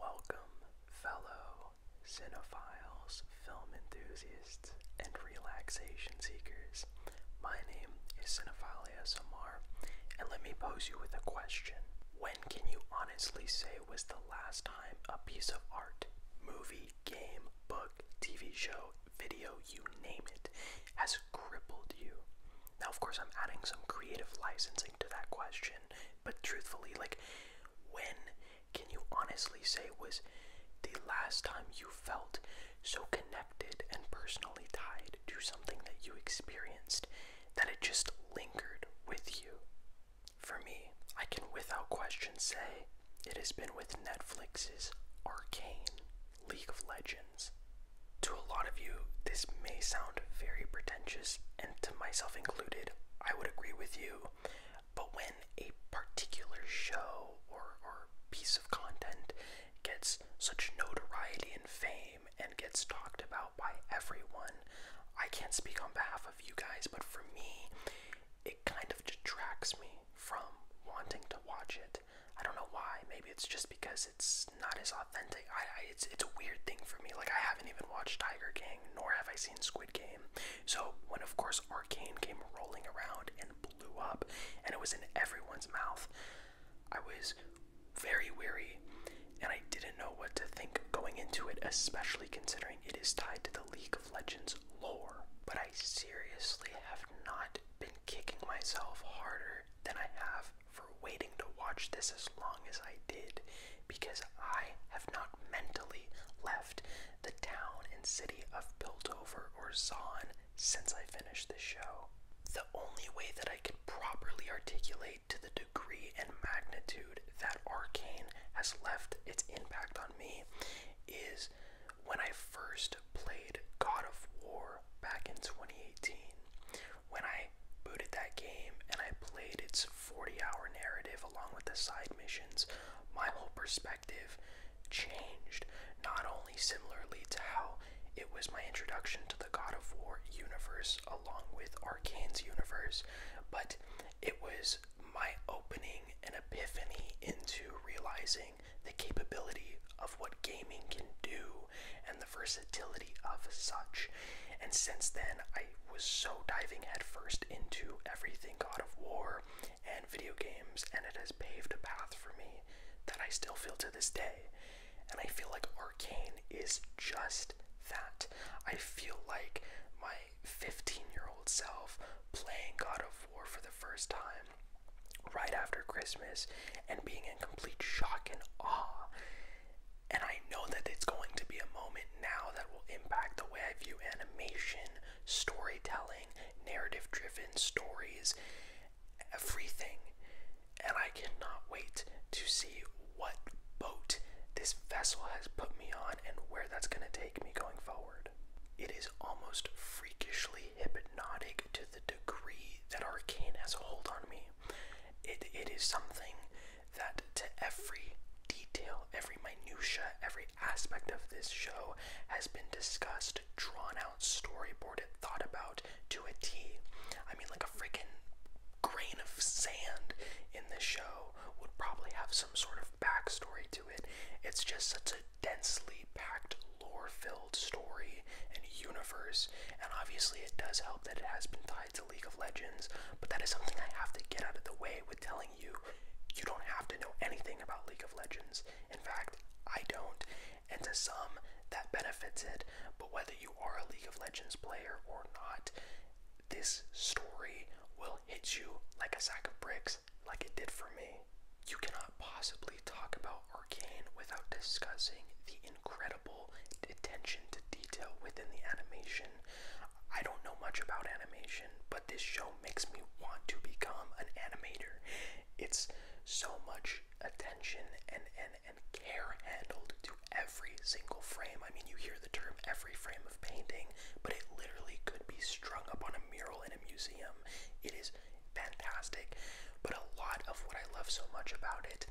Welcome, fellow cinephiles, film enthusiasts, and relaxation seekers. My name is Cinephile ASMR, and let me pose you with a question. When can you honestly say was the last time a piece of art, movie, game, book, TV show, video, you name it, has crippled you? Now, of course, I'm adding some creative licensing to that question but truthfully, like, when can you honestly say was the last time you felt so connected and personally tied to something that you experienced that it just lingered with you? For me, I can without question say it has been with Netflix's Arcane League of Legends. To a lot of you, this may sound very pretentious to myself included, I would agree with you. But when a particular show or piece of content gets such notoriety and fame and gets talked about by everyone, I can't speak on behalf of you guys, but for me, it kind of detracts me from wanting to watch it. I don't know why. Maybe it's just because it's not as authentic. it's it's a weird thing for me. Like I haven't even watched Tiger King, nor have I seen Squid Game. So when of course Arcane came rolling around and blew up, and it was in everyone's mouth, I was very weary, and I didn't know what to think going into it, especially considering it is tied to the League of Legends lore. But I seriously have not been kicking myself harder than I have for waiting to watch this as long as I did because I have not mentally left the town and city of Piltover or Zon since I finished the show. The only way that I can properly articulate to the degree and magnitude that Arcane has left its impact on me is when I first played God of War back in 2018 when I booted that game and I played its 40 hour narrative along with the side missions, my whole perspective changed. Not only similarly to how it was my introduction to the God of War universe along with Arcane's universe, but it was my opening and epiphany into realizing the capability of what gaming can do the versatility of such. And since then, I was so diving headfirst into everything God of War and video games, and it has paved a path for me that I still feel to this day. And I feel like Arcane is just that. I feel like my 15 year old self playing God of War for the first time right after Christmas and being in complete shock and awe. And I know that it's going to be a moment now that will impact the way I view animation, storytelling, narrative driven stories, everything. And I cannot wait to see what boat this vessel has put me on and where that's going to take me going forward. It is almost freakishly hypnotic to the degree that Arcane has a hold on me. It, it is something that to every detail, every minutia, every aspect of this show has been discussed, drawn out, storyboarded, thought about to a T. I mean, like a freaking grain of sand in the show would probably have some sort of backstory to it. It's just such a densely packed, lore filled story and universe, and obviously it does help that it has been tied League of Legends, but that is something I have to get out of the way with telling you you don't have to know anything about League of Legends. In fact, I don't, and to some, that benefits it, but whether you are a League of Legends player or not, this story will hit you like a sack of bricks, like it did for me. You cannot possibly talk about Arcane without discussing the incredible attention to detail within the animation. I don't know much about animation, but this show makes me want to become an animator. It's so much attention and, and, and care handled to every single frame. I mean, you hear the term every frame of painting, but it literally could be strung up on a mural in a museum. It is fantastic, but a lot of what I love so much about it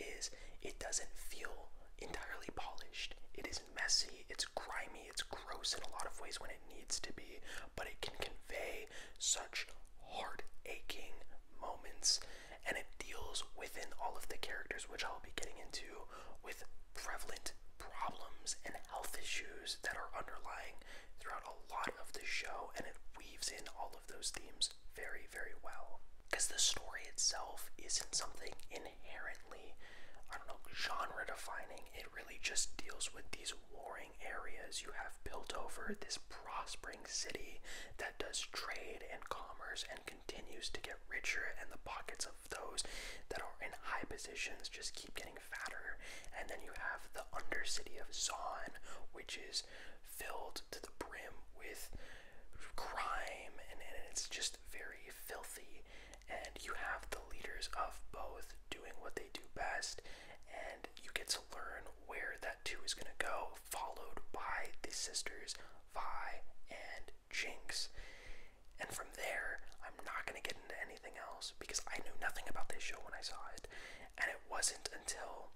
is it doesn't feel entirely polished. It is messy, it's grimy, it's gross in a lot of ways when it needs to be, but it can convey such heart aching moments and it deals within all of the characters, which I'll be getting into, with prevalent problems and health issues that are underlying throughout a lot of the show and it weaves in all of those themes very, very well. Because the story itself isn't something inherently, I don't know, genre defining. It really just deals with these warring areas you have built over this prospering city that does trade and commerce and continues to get richer, and the pockets of those that are in high positions just keep getting fatter. And then you have the undercity of Zon, which is filled to the brim with crime, and, and it's just very filthy. And you have the leaders of both doing what they do best, and you get to learn where that two is going to go, followed by the sisters Vi and Jinx. And from there, I'm not going to get into anything else because I knew nothing about this show when I saw it. And it wasn't until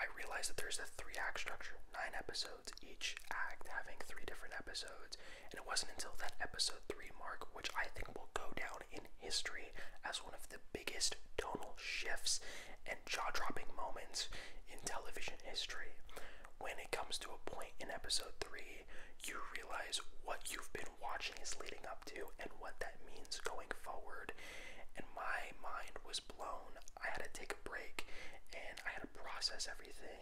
I realized that there's a three act structure, nine episodes, each act having three different episodes. And it wasn't until that episode three mark, which I think will go down in history as one of the biggest tonal shifts and jaw dropping moments in television history. When it comes to a point in episode three, you realize what you've been watching is leading up to and what that means going forward. And my mind was blown. I had to take a break and I had to process everything.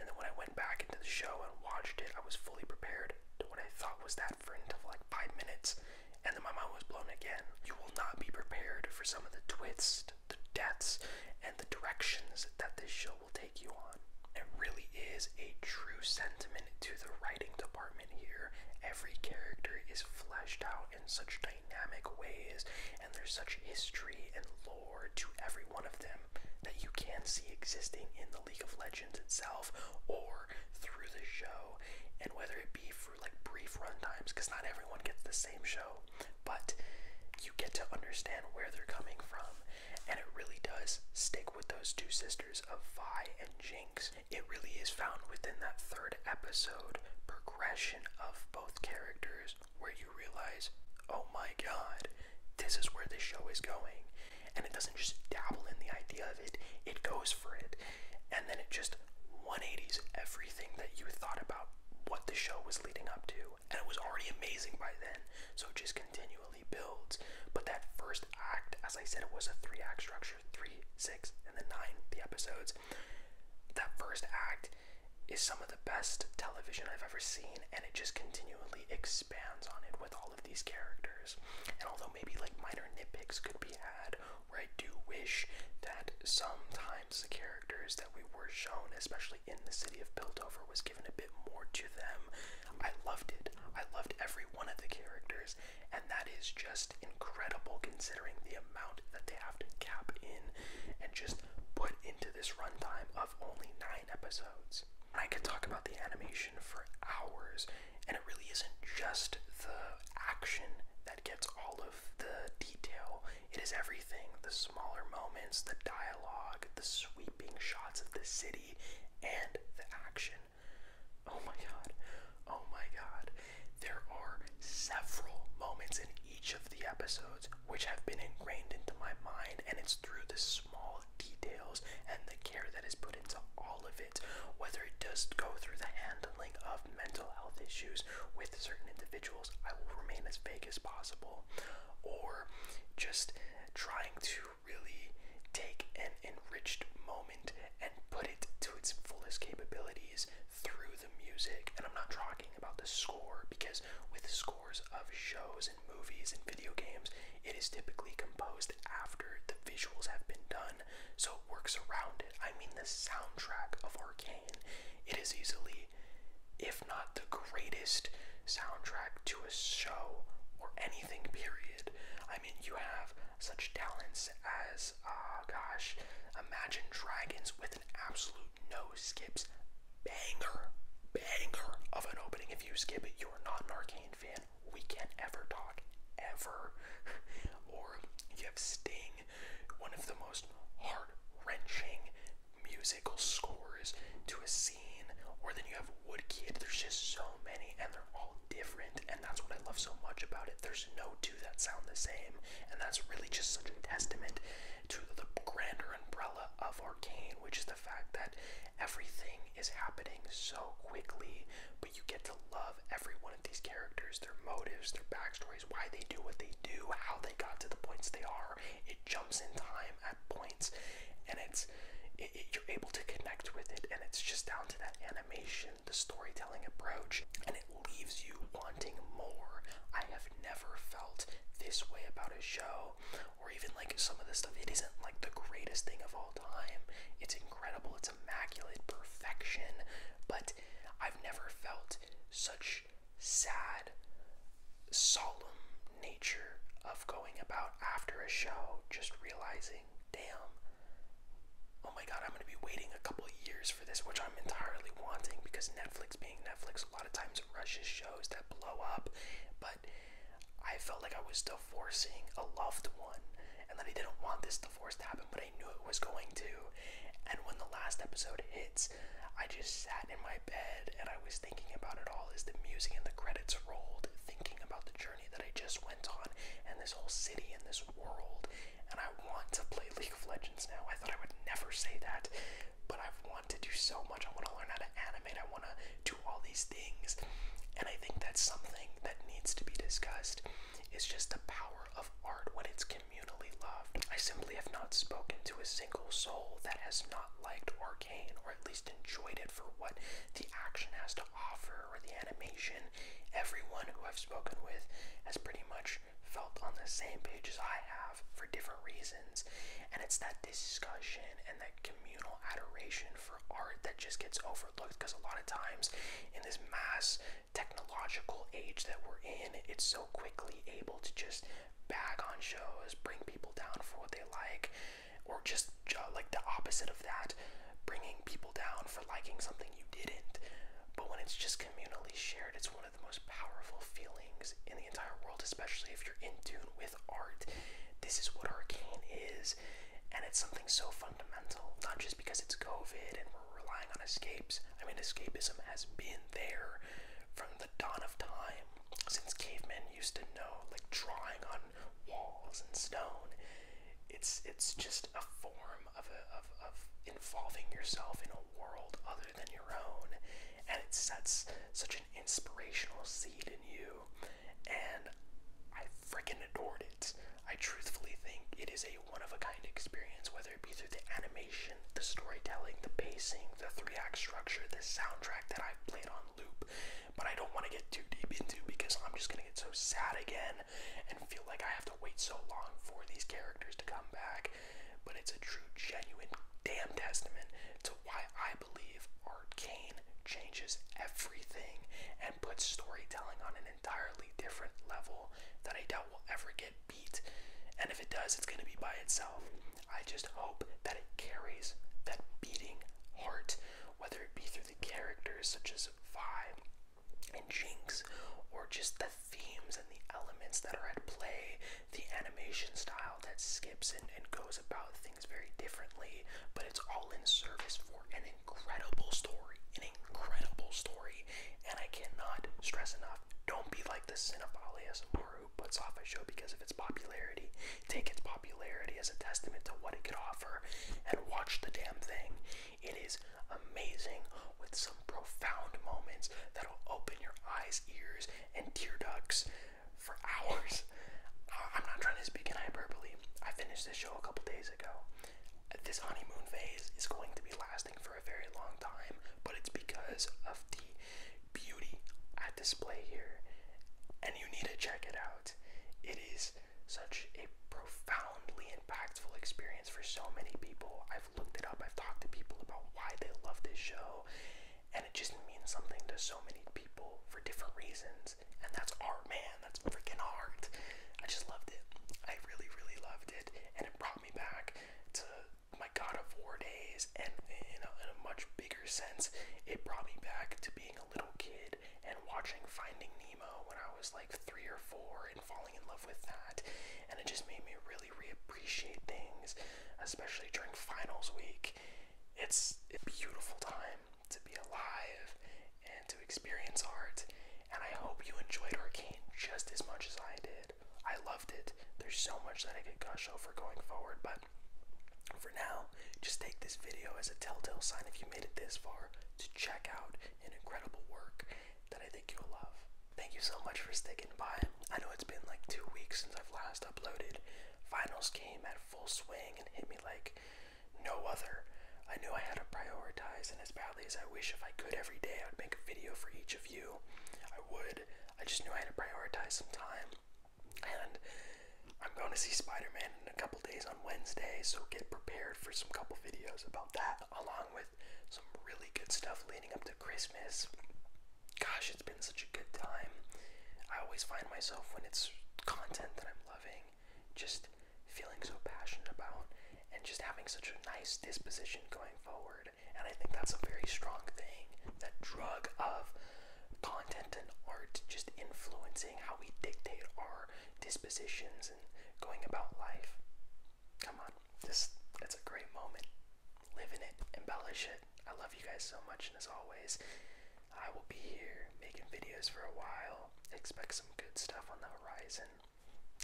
And then when I went back into the show and watched it, I was fully prepared to what I thought was that front of like five minutes. And then my mind was blown again. You will not be prepared for some of the twists, the deaths, and the directions that this show will take you on. It really is a true sentiment to the writing department here. Every character is fleshed out in such dynamic ways, and there's such history and lore to every one of them that you can see existing in the League of Legends itself or through the show. And whether it be for like brief runtimes, because not everyone gets the same show, but you get to understand where they're coming from. And it really does stick with those two sisters of Vi and Jinx. It really is found within that third episode progression of both characters where you realize, oh my god, this is where the show is going. And it doesn't just dabble in the idea of it, it goes for it. And then it just 180s everything that you thought about what the show was leading up to. And it was already amazing by then, so it just continually builds. But that first act, as I said, it was a three act structure three, six, and then nine, the episodes. That first act is some of the best television I've ever seen, and it just continually expands on it with all of these characters. And although maybe like minor nitpicks could be had, where I do wish that sometimes the characters that we were shown, especially in the city of Piltover, was given a bit more to them, I loved it. I loved every one of the characters, and that is just incredible considering the amount that they have to cap in and just put into this runtime of only nine episodes. I could talk about the animation for hours, and it really isn't just the action that gets all of the detail. It is everything the smaller moments, the dialogue, the sweeping shots of the city, and the action. Oh my god. Oh my god. There are several moments in each of the episodes which have been ingrained into my mind, and it's through the small details and the care that is put into all of it, whether it does go through the handling of mental health issues with certain individuals, I will remain as vague as possible, or just trying to really take an enriched moment and put it to its fullest capabilities through the music. And I'm not talking about the score because with scores of shows and movies and video games, it is typically composed after the visuals have been done, so it works around it. I mean, the soundtrack of Arcane, it is easily, if not the greatest soundtrack to a show or anything, period. I mean, you have such talents as was, oh gosh, Imagine Dragons with an absolute no skips banger, banger of an opening. If you skip it, you are not an Arcane fan. We can't ever talk, ever. or you have Sting, one of the most heart wrenching musical scores to a scene. Or then you have Woodkid. There's just so many, and they're all different that's what I love so much about it. There's no two that sound the same, and that's really just such a testament to the grander umbrella of Arcane, which is the fact that everything is happening so quickly, but you get to love every one of these characters, their motives, their backstories, why they do what they do, how they got to the points they are. It jumps in time at points, and it's you're able to connect with it, and it's just down to that the storytelling approach, and it leaves you wanting more. I have never felt this way about a show, or even like some of the stuff. It isn't like the greatest thing of all time. It's incredible, it's immaculate perfection, but I've never felt such sad, solemn nature of going about after a show, just realizing, damn, oh my god, I'm going to be waiting a couple years for this, which I'm entirely wanting because Netflix being Netflix, a lot of times rushes shows that blow up. But I felt like I was divorcing a loved one and that I didn't want this divorce to happen, but I knew it was going to. And when the last episode hits, I just sat in my bed and I was thinking about it all as the music and the credits rolled, thinking about the journey that I just went on and this whole city and this world and I want to play League of Legends now. I thought I would never say that, but I want to do so much. I want to learn how to animate. I want to do all these things, and I think that's something that needs to be discussed. Is just the power of art when it's communally loved. I simply have not spoken to a single soul that has not liked or Arcane or at least enjoyed it for what the action has to offer or the animation. Everyone who I've spoken with has pretty much felt on the same page as I have for different reasons. And it's that discussion and that communal adoration for art that just gets overlooked because a lot of times in this mass technological age that we're in, it's so quickly able to just bag on shows, bring people down for what they like, or just uh, like the opposite of that, bringing people down for liking something you didn't. But when it's just communally shared. It's one of the most powerful feelings in the entire world, especially if you're in tune with art. This is what Arcane is, and it's something so fundamental, not just because it's COVID and we're relying on escapes. I mean, escapism has been there from the dawn of time, since cavemen used to know, like drawing on walls and stone. It's it's just a form of, of, involving yourself in a world other than your own, and it sets such an inspirational seed in you. And I freaking adored it. I truthfully think it is a one of a kind experience, whether it be through the animation, the storytelling, the pacing, the three act structure, the soundtrack that I've played on loop. But I don't want to get too deep into because I'm just gonna get so sad again on and feel like I have to wait so long for these characters to come back. But it's a true, genuine, damn testament to why I believe Arcane changes everything and puts storytelling on an entirely different level that I doubt will ever get beat. And if it does, it's going to be by itself. I just hope that it carries that beating heart, whether it be through the characters such as Vi and jinx or just the themes and the elements that are at play the animation style that skips and, and goes about things very differently but it's all in service for an incredible story an incredible story and i cannot stress enough don't be like the cinephile asmr who puts off a show because of its popularity take its popularity as a testament to what it could offer and watch the damn thing it is amazing with some profound moments that'll open your eyes, ears, and tear ducts for hours. I'm not trying to speak in hyperbole. I finished this show a couple days ago. This honeymoon phase is going to be lasting for a very long time, but it's because of the beauty at display here. And you need to check it out. It is such a profoundly impactful experience for so many people. I've looked it up, I've talked to people about why they love this show, and it just means something to so many people for different reasons. And that's art, man. That's freaking art. I just loved it. I really, really loved it, and it brought me back to my God of War days, and in a, much bigger sense, it brought me back to being a little kid and watching Finding Nemo when I was like three or four, and in love with that, and it just made me really reappreciate things, especially during finals week. It's a beautiful time to be alive and to experience art, and I hope you enjoyed Arcane just as much as I did. I loved it. There's so much that I could gush over going forward, but for now, just take this video as a telltale sign if you made it this far to check out an incredible work that I think you'll love. Thank you so much for sticking by. I know it's been like two weeks since I've last uploaded. Finals came at full swing and hit me like no other. I knew I had to prioritize, and as badly as I wish if I could every day, I'd make a video for each of you. I would. I just knew I had to prioritize some time. And I'm going to see Spider Man in a couple days on Wednesday, so get prepared for some couple videos about that along with some really good stuff leading up to Christmas. Gosh, it's been such a good time. I always find myself when it's content that I'm loving, just feeling so passionate about and just having such a nice disposition going forward. And I think that's a very strong thing that drug of content and art just influencing how we dictate our dispositions going about life. Come on, this it's a great moment. Live in it, embellish it. I love you guys so much, and as always, I will be here making videos for a while. Expect some good stuff on the horizon.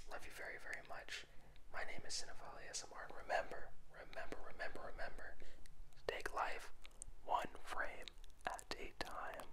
Love you very, very much. My name is Cinephile ASMR, remember, remember, remember, remember, take life one frame at a time.